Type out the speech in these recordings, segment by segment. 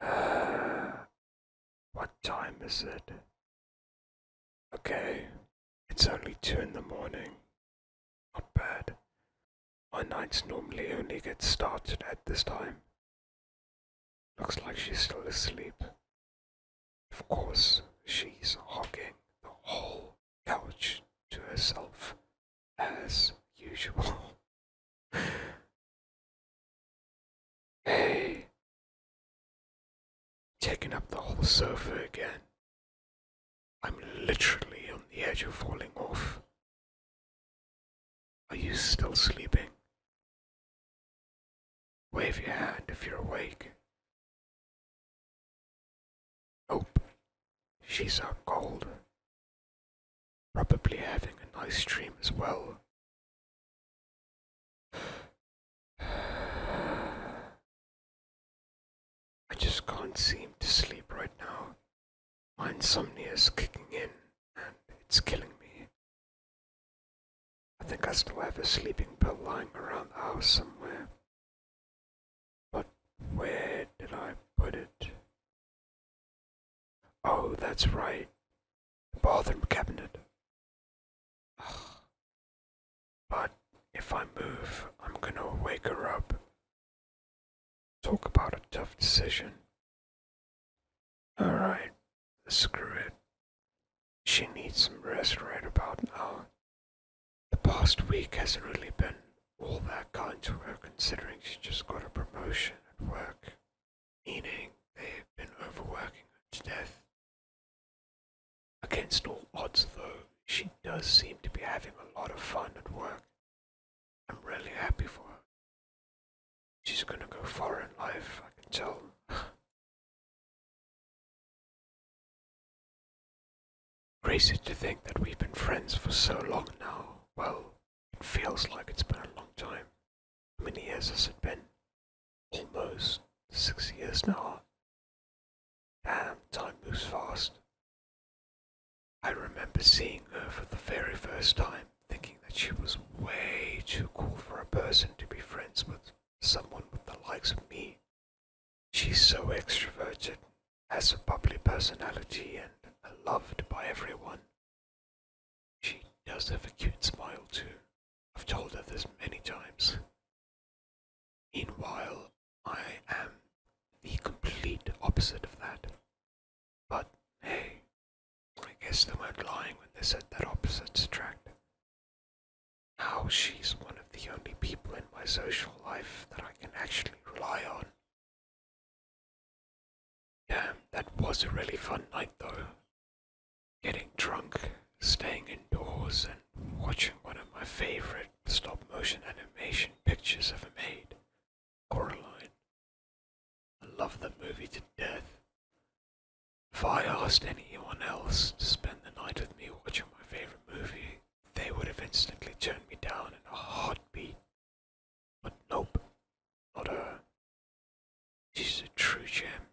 Uh, what time is it? Okay, it's only two in the morning. Not bad. My nights normally only get started at this time. Looks like she's still asleep. Of course, she's hogging the whole couch to herself, as usual. hey! Taking up the whole sofa again. I'm literally on the edge of falling off. Are you still sleeping? Wave your hand if you're awake. Nope, she's out cold. Probably having a nice dream as well. I just can't seem to sleep right now. My insomnia is kicking in and it's killing me. I think I still have a sleeping pill lying around the house somewhere. But where did I put it? Oh, that's right. The bathroom cabinet. Ugh. But if I move, I'm gonna wake her up Talk about a tough decision. Alright, screw it. She needs some rest right about now. The past week hasn't really been all that kind to her considering she just got a promotion at work, meaning they've been overworking her to death. Against all odds, though, she does seem to be having a lot of fun at work. I'm really happy for her. She's gonna go far in life, I can tell. Crazy to think that we've been friends for so long now. Well, it feels like it's been a long time. How many years has it been? Almost six years now. Damn, ah, time moves fast. I remember seeing her for the very first time, thinking that she was way too cool for a person to be friends with someone with the likes of me. She's so extroverted, has a bubbly personality, and loved by everyone. She does have a cute smile, too. I've told her this many times. Meanwhile, I am the complete opposite of that. But hey, I guess they weren't lying when they said that opposites attract. Now she's one of the only people in my social life that I can actually rely on. Yeah, that was a really fun night though getting drunk, staying indoors, and watching one of my favorite stop motion animation pictures ever made, Coraline. I loved the movie to death. If I asked anyone else to spend the night with me watching my favorite movie, they would have instantly turned me down in a heartbeat. But nope, not her. She's a true gem.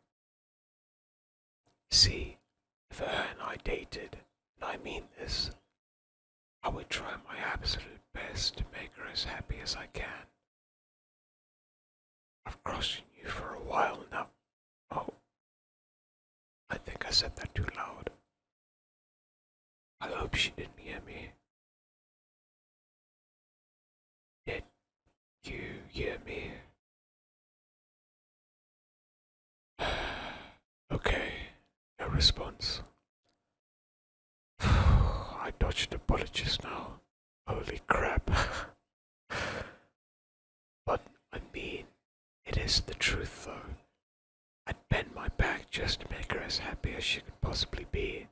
See, if her and I dated, and I mean this, I would try my absolute best to make her as happy as I can. I've crossed you for a while now. Oh, I think I said that too loud. I hope she didn't hear me. Did you hear me? okay, A response. I dodged a bullet just now. Holy crap. but I mean, it is the truth though. I'd bend my back just to make her as happy as she could possibly be,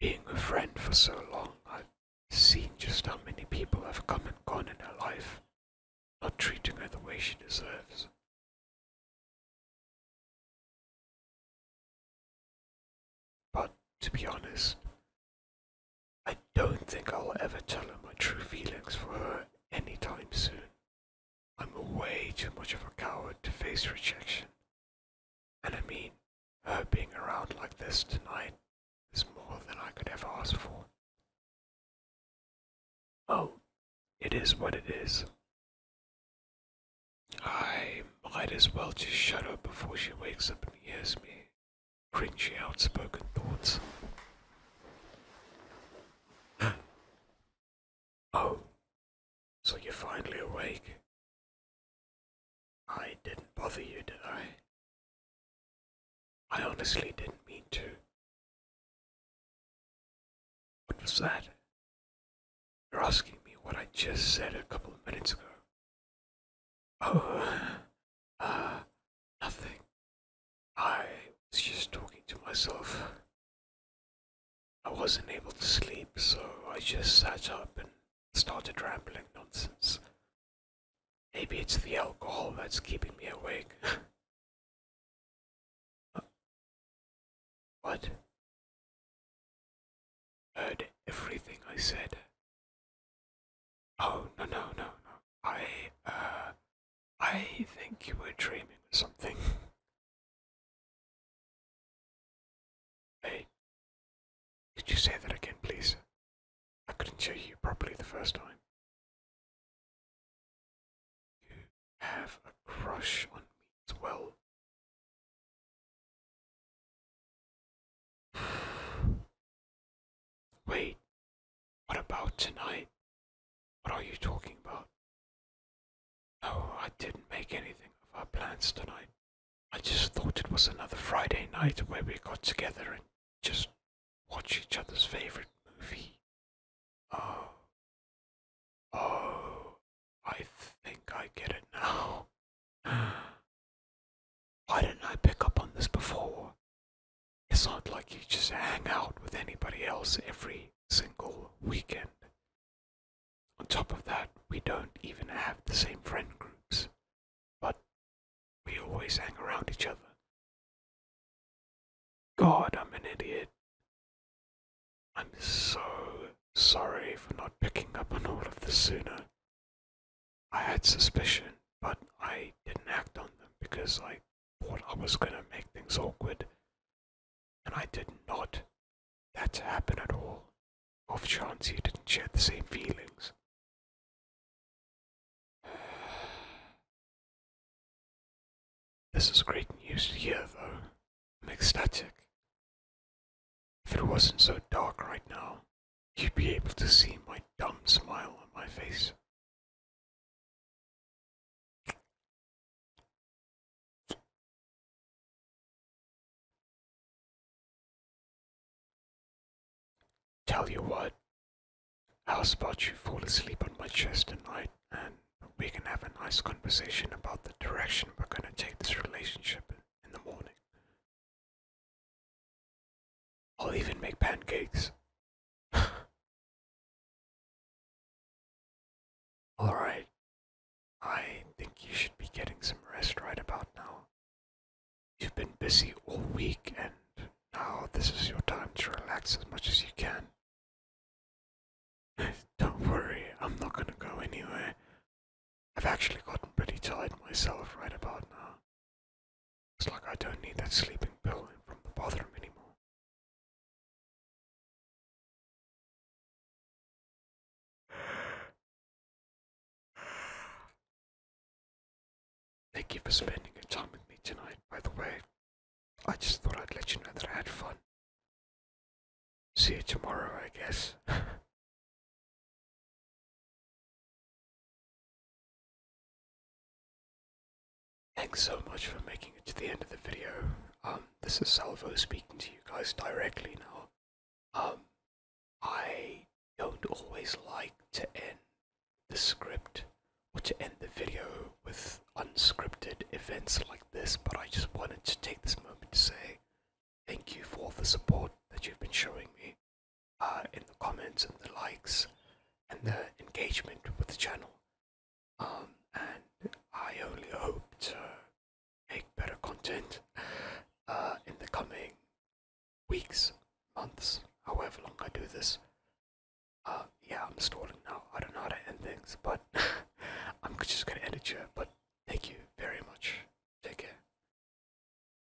being a friend for so long, I've seen just how many people have come and gone in her life, not treating her the way she deserves. But to be honest, I don't think I'll ever tell her my true feelings for her anytime soon. I'm way too much of a coward to face rejection. And I mean, her being around like this tonight is more than I could ever ask for. Oh, it is what it is. I might as well just shut up before she wakes up and hears me cringy outspoken thoughts. oh, so you're finally awake. I didn't bother you, did I? I honestly didn't mean to. What was that? You're asking me what I just said a couple of minutes ago. Oh, uh, nothing. I was just talking to myself. I wasn't able to sleep, so I just sat up and started rambling nonsense. Maybe it's the alcohol that's keeping me awake. what? Heard everything I said. Oh, no, no, no, no. I, uh, I think you were dreaming or something. Hey, could you say that again, please? I couldn't show you properly the first time. You have a crush on me as well. Wait, what about tonight? What are you talking about? No, I didn't make anything of our plans tonight. I just thought it was another Friday night where we got together and just watch each other's favorite movie. Oh. Oh. I think I get it now. Why didn't I pick up on this before? It's not like you just hang out with anybody else every single weekend. On top of that, we don't even have the same friend groups, but we always hang around each other. God, I'm an idiot. I'm so sorry for not picking up on all of this sooner. I had suspicion, but I didn't act on them because I thought I was gonna make things awkward, and I did not. That happen at all. Off chance you didn't share the same feelings. This is great news to hear, though. I'm ecstatic. If it wasn't so dark right now, you'd be able to see my dumb smile on my face. Tell you what, I'll spot you fall asleep on my chest tonight and we can have a nice conversation about the direction we're going to take this relationship in the morning. I'll even make pancakes. Alright. I think you should be getting some rest right about now. You've been busy all week, and now this is your time to relax as much as you can. Don't worry, I'm not gonna go anywhere. I've actually gotten pretty tired myself right about now. It's like I don't need that sleeping pill from the bathroom anymore. Thank you for spending your time with me tonight, by the way. I just thought I'd let you know that I had fun. See you tomorrow, I guess. Thanks so much for making it to the end of the video. Um, this is Salvo speaking to you guys directly now. Um, I don't always like to end the script or to end the video with unscripted events like this, but I just wanted to take this moment to say thank you for all the support that you've been showing me uh, in the comments and the likes and the engagement with the channel. Um, and I only hope to make better content uh, in the coming weeks, months, however long I do this. Uh, yeah, I'm stalling now. I don't know how to end things, but I'm just gonna end it here. But thank you very much. Take care.